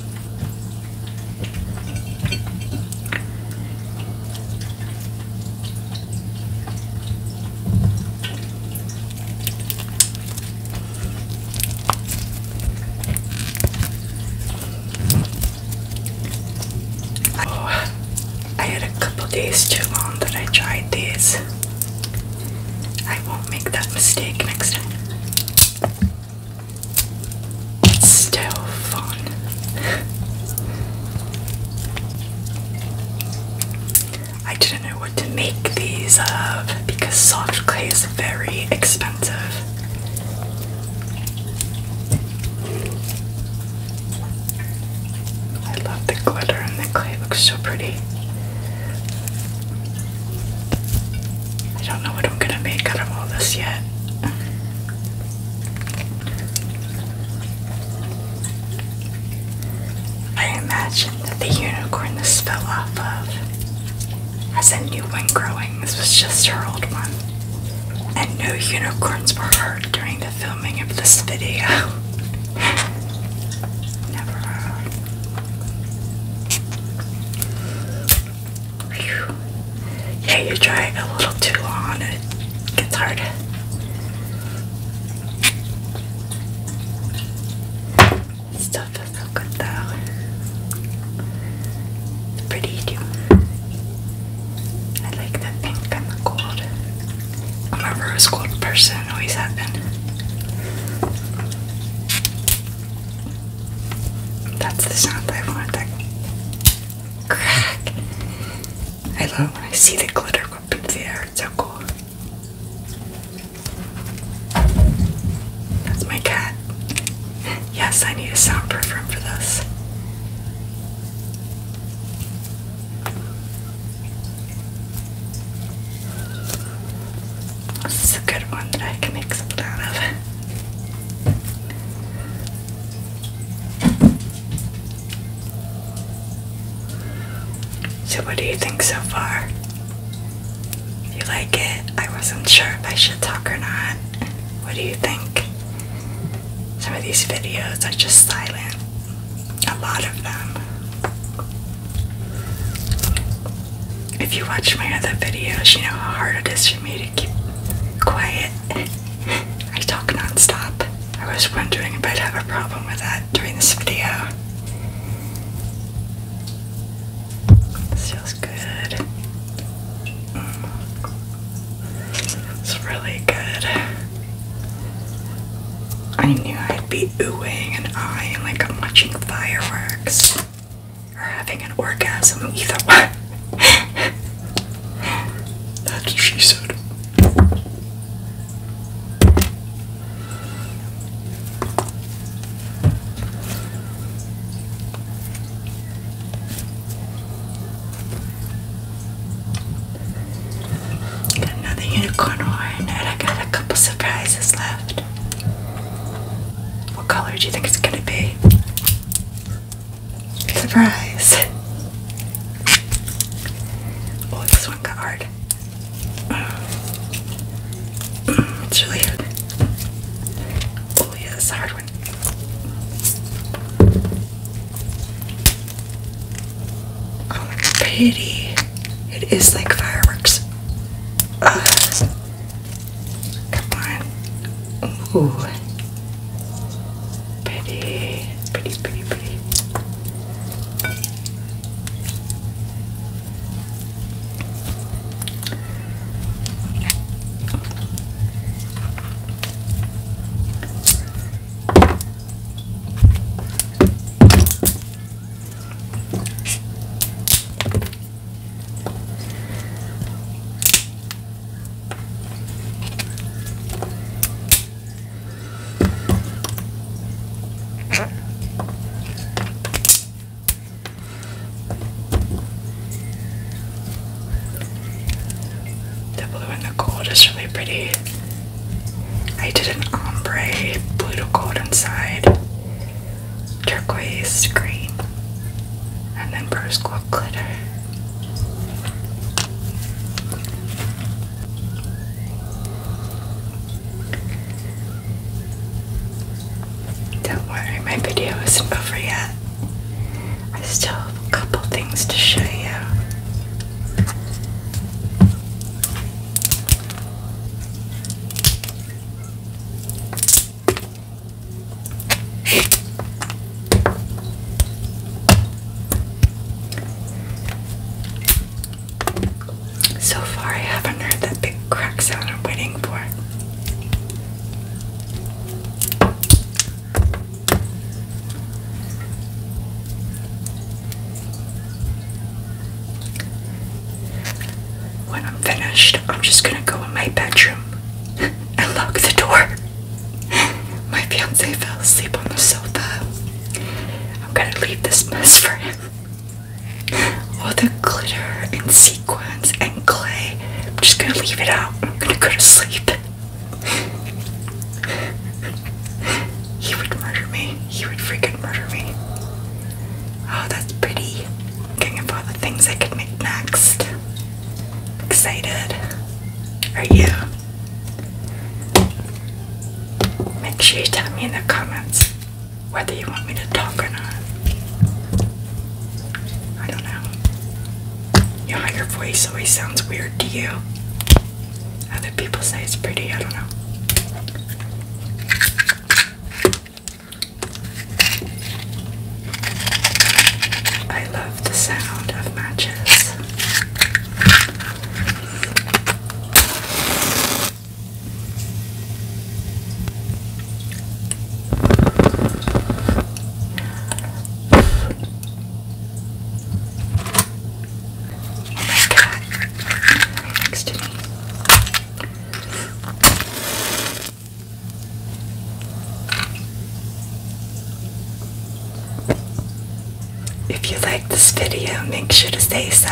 Oh, I had a couple days too long that I tried this. I won't make that mistake next time still fun. I didn't know what to make these of because soft clay is very expensive. I love the glitter and the clay looks so pretty. I don't know what I'm gonna make out of all this yet. I imagine that the unicorn this fell off of has a new one growing. This was just her old one. And no unicorns were hurt during the filming of this video. Never. Yeah, you are trying a little too hard. it gets hard. This stuff so good though. It's pretty too. I like the pink and the gold. I'm a rose gold person, always have been. That's the sound I want. That crack. I love when I see the glitter go up in the air. It's so cool. That's my cat. Yes, I need a soundproof room for this. This is a good one that I can make something out of. So, what do you think so far? You like it? I wasn't sure if I should talk or not. What do you think? Some of these videos are just silent, a lot of them if you watch my other videos, you know how hard it is for me to keep quiet. I talk nonstop. I was wondering if I'd have a problem with that during this video. This feels good. Mm. It's really good. I knew I'd be oohing and eyeing like I'm watching fireworks or having an orgasm, either one. That's what she said. Got another unicorn horn, I got a couple surprises left. What color do you think it's gonna be? Surprise! Oh, this one got hard. It's really hard. Oh, yeah, it's a hard one. Oh, pretty. It is like fireworks. Uh, Come on. Ooh. Pretty, pretty, pretty, pretty. The blue and the gold is really pretty. I did an ombre blue to gold inside turquoise green, and then Bruce Gold glitter. Don't worry, my video isn't over yet. I still have a couple things to show you. So far, I haven't heard that big crack sound I'm waiting for. When I'm finished, I'm just gonna go in my bedroom and lock the door. My fiance fell asleep on the sofa. I'm gonna leave this mess for him. All the glitter and sequins and clay. I'm just gonna leave it out. I'm gonna go to sleep. He would murder me. He would freaking murder me. Oh, that's pretty looking at the things I could make next. Excited? Are you? Make sure you tell me in the comments whether you want me to talk or not. I don't know. your voice always sounds weird to you? Other people say it's pretty, I don't know. I love the sound of matches. my god, right next to me. If you like this video, make sure to say so.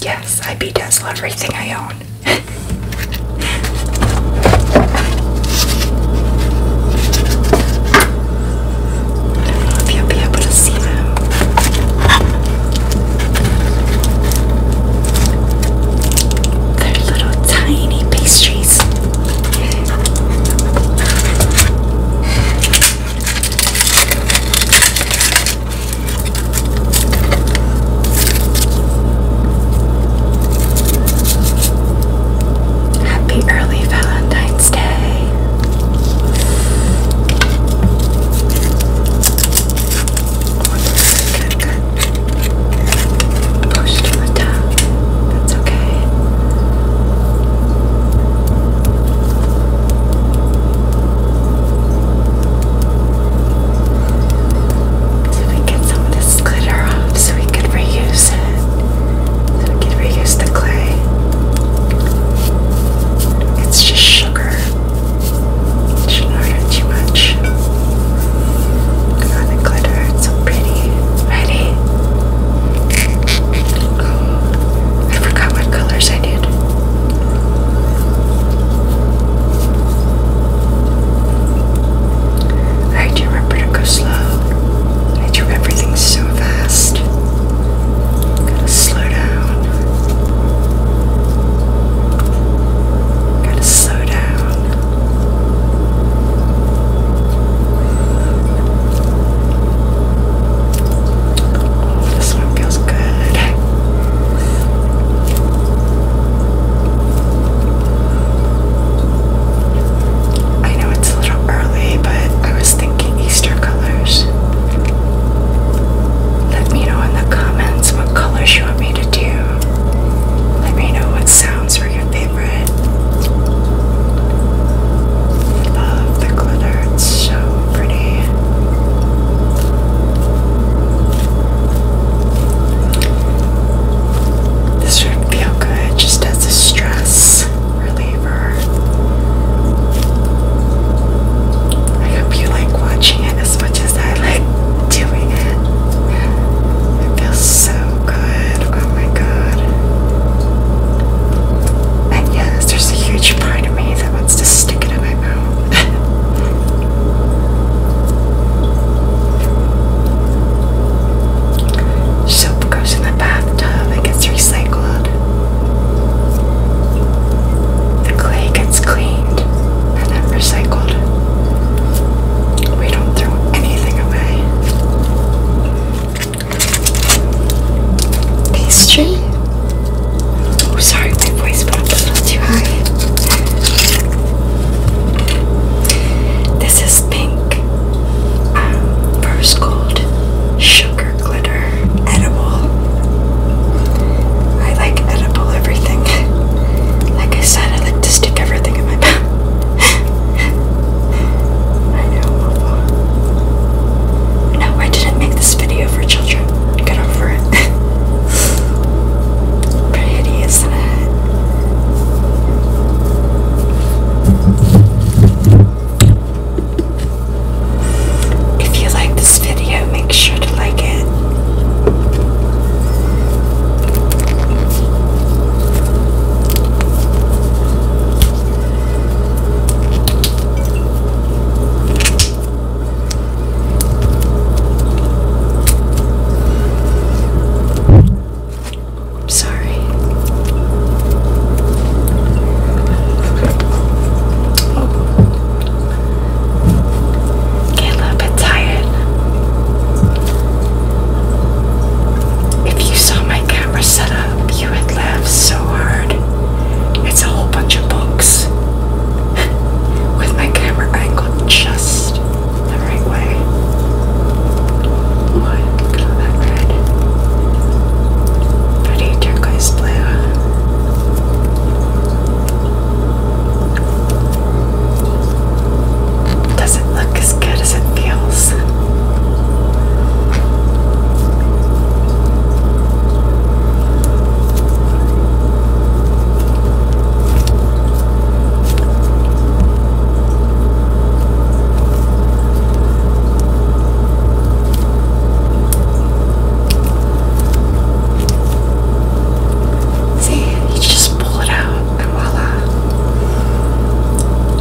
Yes, I beat Tesla everything I own. I you'll be able to see them. They're little tiny pastries. Happy early Valentine's Day. Push to the That's okay. So we get some of this glitter off so we can reuse it. So we can reuse the clay. It's just sugar. It shouldn't hurt too much. Oh, glitter, it's so pretty. Ready? Oh, I forgot what colors I did. I do remember to go slow. I do everything so fast. Gotta slow down. Gotta slow down. Oh, this one feels good. I know it's a little early, but I was thinking Easter colors. Let me know in the comments what colors you want me to do. Let me know what sounds were your favorite. Love the glitter, it's so pretty. This would feel good just as a stress reliever. I hope you like watching as much as I like doing it. It feels so good. Oh my god. And yes, there's a huge part of me that wants to stick it in my mouth. Soap goes in the bathtub, it gets recycled. The clay gets cleaned and then recycled. We don't throw anything away. Pastry? Oh, sorry, my voice went a little too high. This is pink, um, rose gold, sugar glitter. Edible. I like edible everything. like I said, I like to stick everything in my mouth. I know. No, I didn't make this video for children. Get over it. Pretty, isn't it? If you like this video, make sure to like it. sorry. Oh. Get a little bit tired. If you saw my camera setup, you would laugh so hard. It's a whole bunch of books with my camera angled just the right way. What? Pretty turquoise blue. Doesn't look as good as it feels. See, you just pull it out and voila.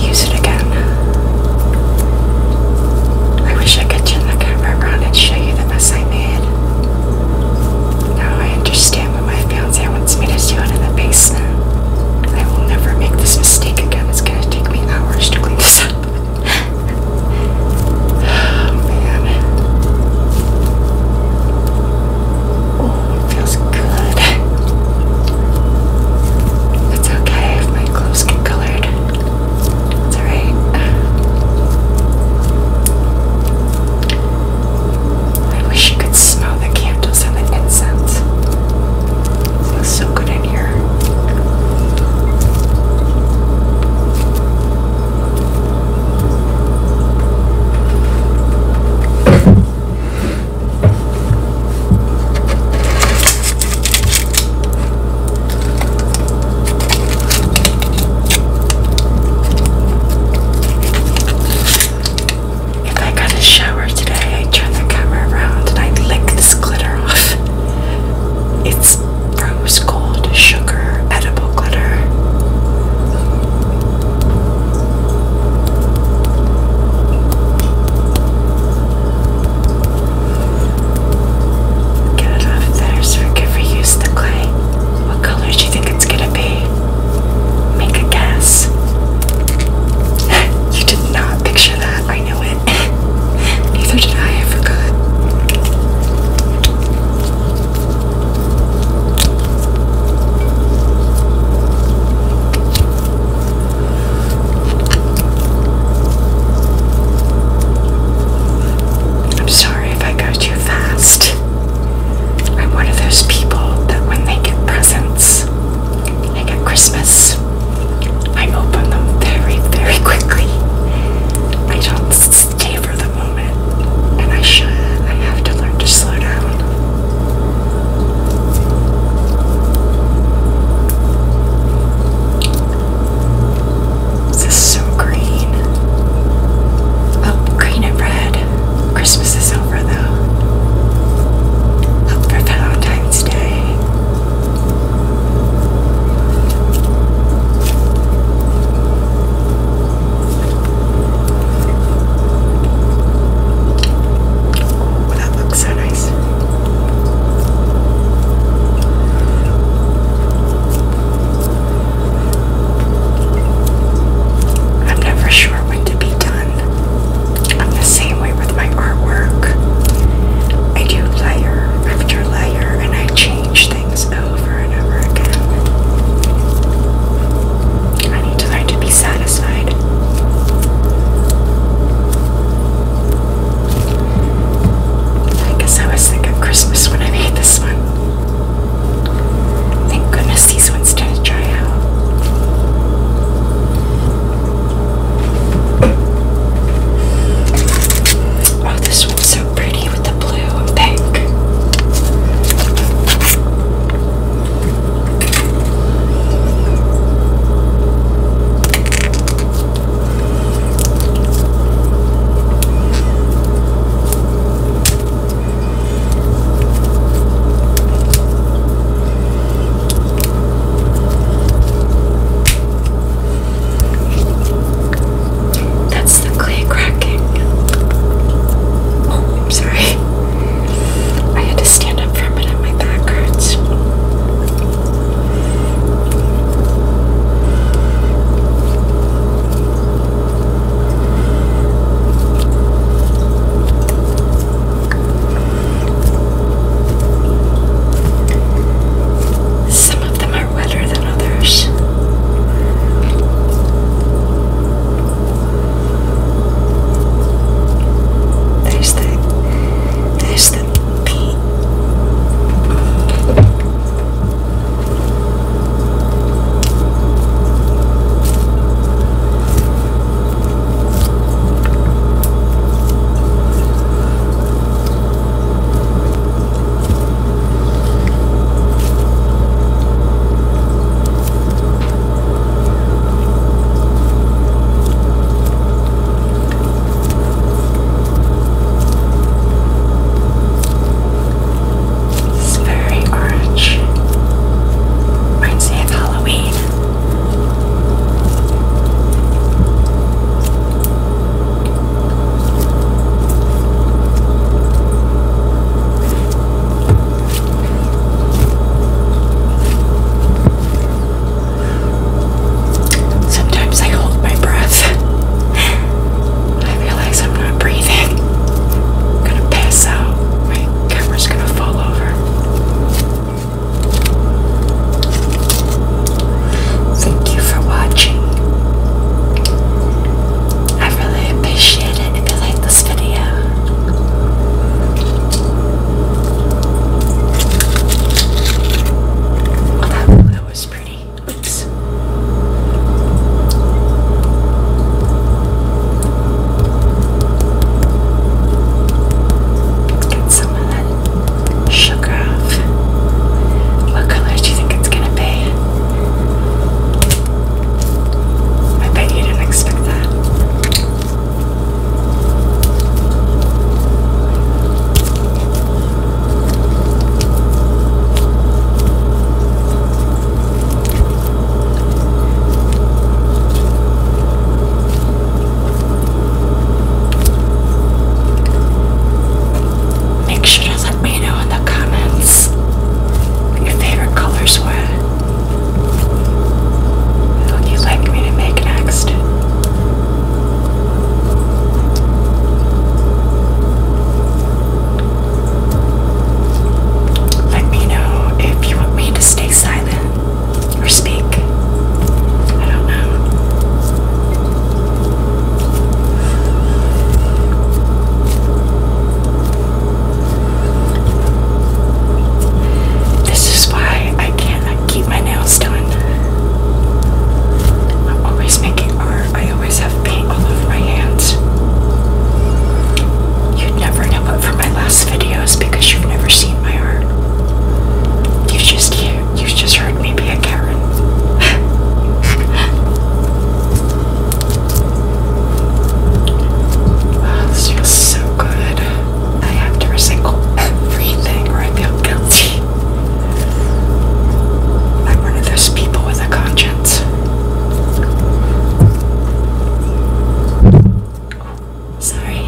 Use it again. I wish I could turn the camera around and show you the mess I made. Now I understand what my fiance wants me to do it in the basement. I will never make this mistake again. It's gonna take me hours to clean this up man. Oh, feels good. It's okay if my clothes get colored. It's alright. I wish you could smell the candles and the incense. It smells so good in here. If I got a shower today, I turn the camera around and I lick this glitter off. It's rose gold sugar edible glitter. Get it off there so I can reuse clay. What color do you think it's gonna be? Make a guess. you did not picture that, I know it. Neither did I, I forgot. I'm sorry if I go too fast. I'm one of those people that when they get presents, like at Christmas, I open them very, very quickly. I don't savor the moment, and I should. I have to learn to slow down. This is so green. Oh, green and red. Christmas is over though. Hope for Valentine's Day that looks so nice. I'm never sure when to be done. I'm the same way with my artwork. I do layer after layer and I change things over and over again. I need to learn to be satisfied. I guess I was thinking of Christmas when I made this one. Thank goodness these ones did to dry out. Oh, this one's so pretty with the blue and pink. That's the clay cracking. Oh, I'm sorry. I had to stand up for a minute, my back hurts. Some of them are are wetter than others. There's the there's the peat. It's very orange. Reminds me Halloween. Sometimes I hold my breath. I realize I'm not breathing. I'm gonna pass out. My camera's gonna fall over. Thank you for watching. I really appreciate it if you like this video. that was pretty. Oops. Get some of that sugar off. What color do you think it's gonna be? I bet you didn't expect that. Make sure to let me know in the comments your favorite colors were. What you like me to make next. Let me know if you want me to stay silent or speak. I don't know. This is why I can't keep my nails done. I'm always making art. I always have paint all over my hands. You'd never know it from my last videos because you've never seen my art. You've just, you, you just heard me be a Karen. Ah, this feels so good. I have to recycle everything or I feel guilty. I'm one of those people with a conscience. Oh, sorry.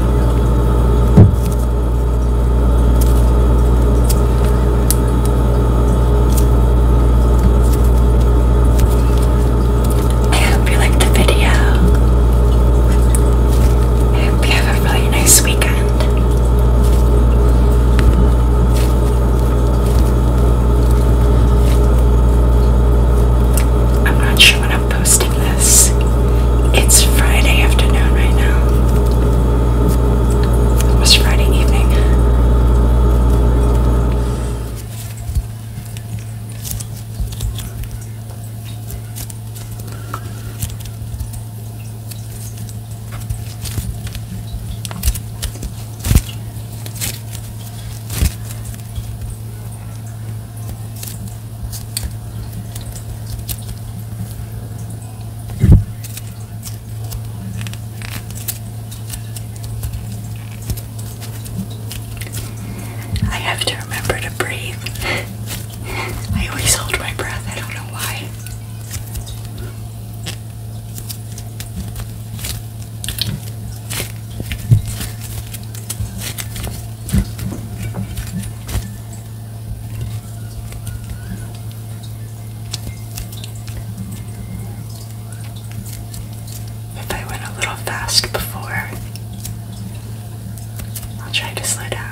I hope you liked the video. hope you have a really nice weekend. I'm not sure what posting this. It's Friday afternoon right now. It was Friday evening. I have to remember to breathe. I always hold my breath, I don't know why. If I went a little fast before, I'll try to slow down.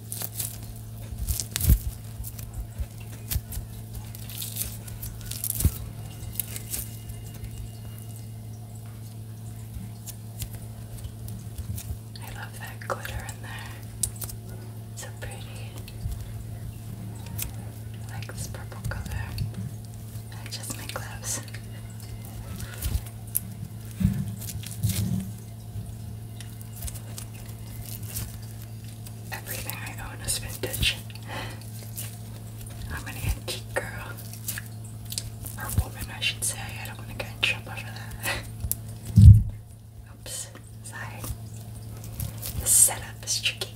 I love that glitter in there. So pretty. like this purple color. I my gloves. Everything I own is vintage. I'm an antique girl. Or woman, I should say. I don't want to get in trouble for that. Oops, sorry. The setup is tricky.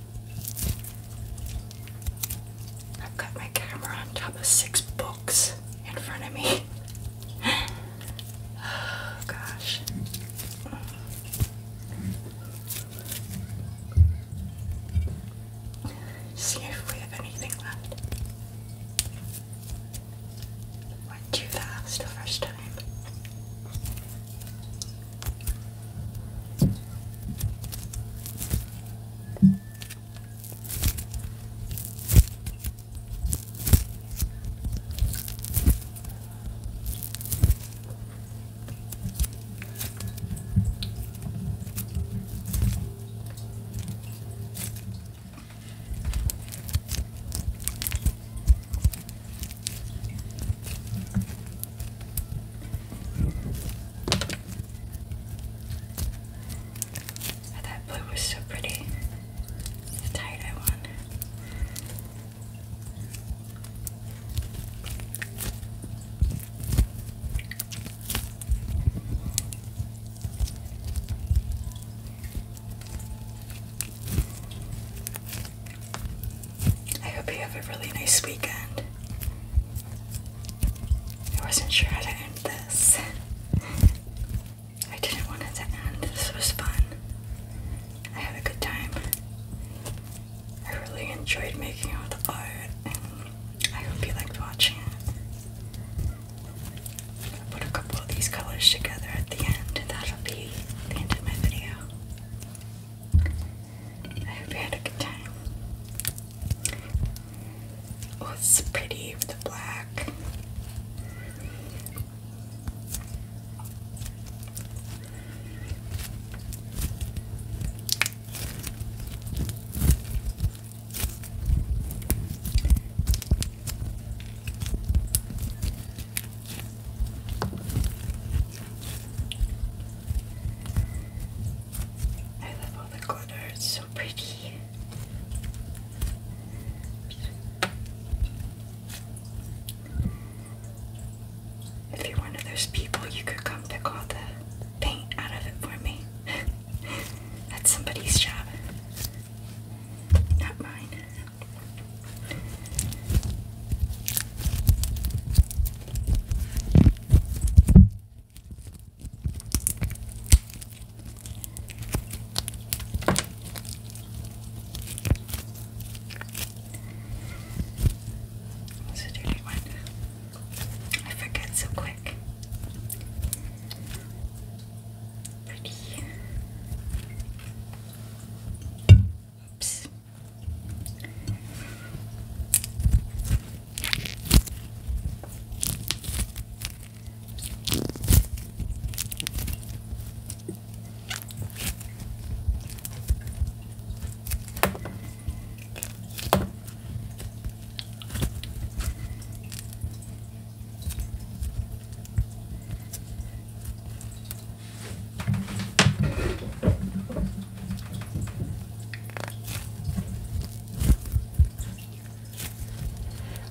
I've got my camera on top of six books in front of me. Oh, gosh. See if we have anything left. Went too fast the first time. Oh, that blue was so pretty. The tie I won. I hope you have a really nice weekend. I wasn't sure how to end this. I didn't want it to end. This was fun. I had a good time. I really enjoyed making all the art, I hope you liked watching I'm gonna put a couple of these colors together at the end, and that'll be the end of my video. I hope you had a good time. Oh, it's pretty with the black. I love all the glitter, it's so pretty. If you're one of those people, you could come pick all the paint out of it for me. That's somebody's job, not mine. It's a dirty one. I forget so quick. Pretty. Oops.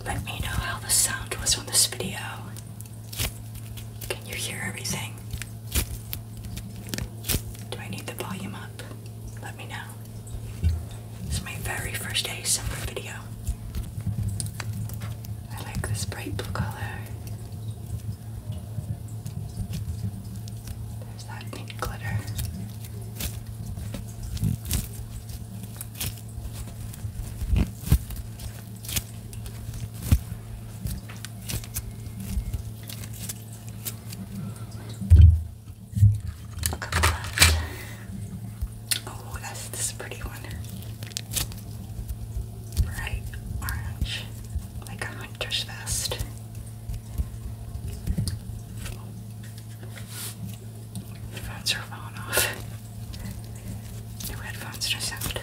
Let me know how the sound was on this video. Can you hear everything? Do I need the volume up? Let me know. This my very first ASMR video. I like this bright blue color. There's that pink glitter. Look at Oh, that's this pretty one. Bright orange, like a hunter's vest. Phones are falling off. New headphones just sound.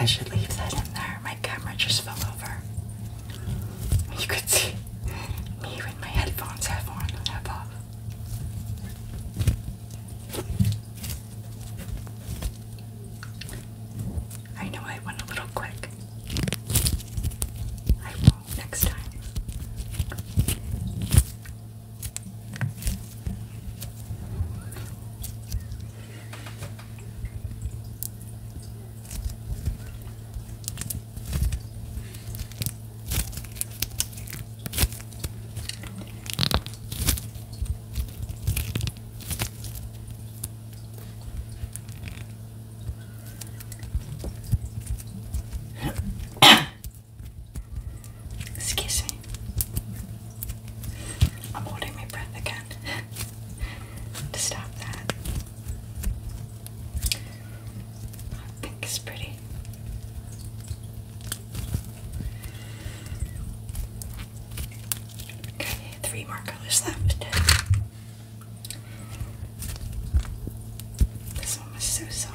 I should leave that in there. My camera just fell over. You could see me with my headphones half on and off. I know I went a little quick. I won't next time. Excuse me. I'm holding my breath again to stop that. I think it's pretty. Okay, three more colors left. This one was so soft.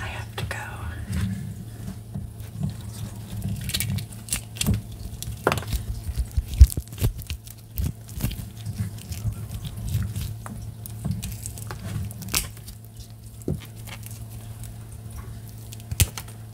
I have to go.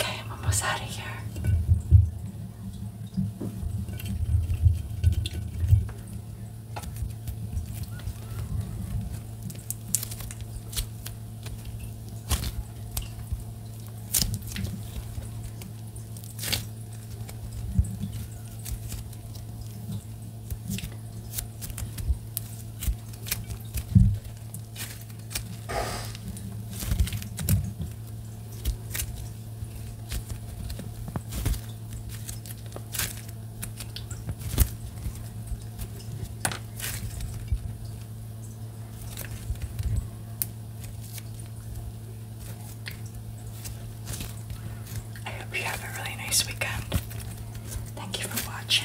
Okay, I'm almost out of here. I hope you have a really nice weekend. Thank you for watching.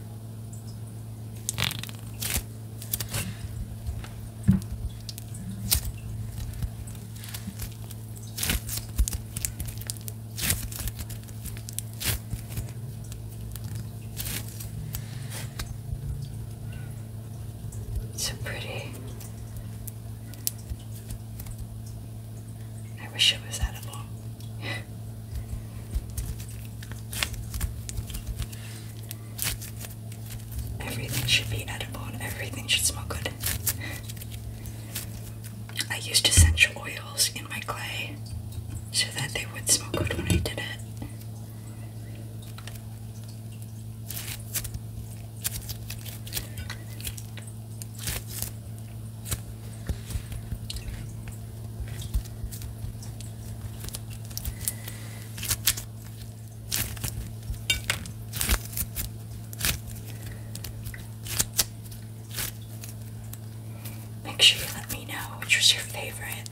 So pretty. I wish it was edible. Everything should be edible and everything should smell good. I used essential oils in my clay so that they would smell good when I did it. Make sure you let me know which was your favorite.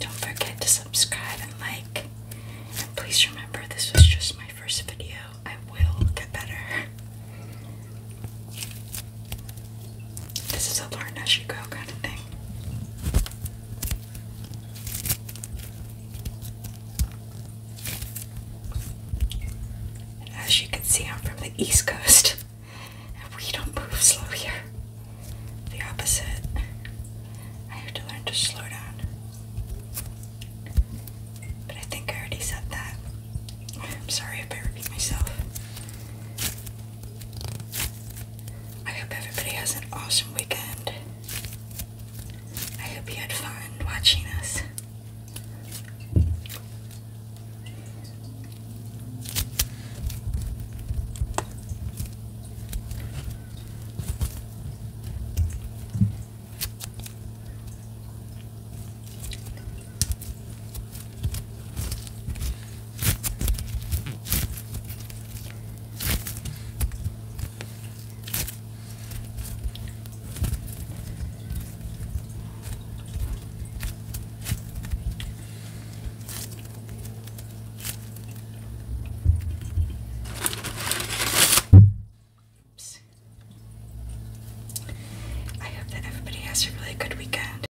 Don't forget to subscribe and like. And please remember, this was just my first video. I will get better. This is a learn as you go kind of thing. as you can see, I'm from the East Coast, and we don't move slow here. The opposite. I have to learn to slow down. But I think I already said that. I'm sorry if I repeat myself. I hope everybody has an awesome weekend. I hope you had fun watching us. Oops. I hope that everybody has a really good weekend.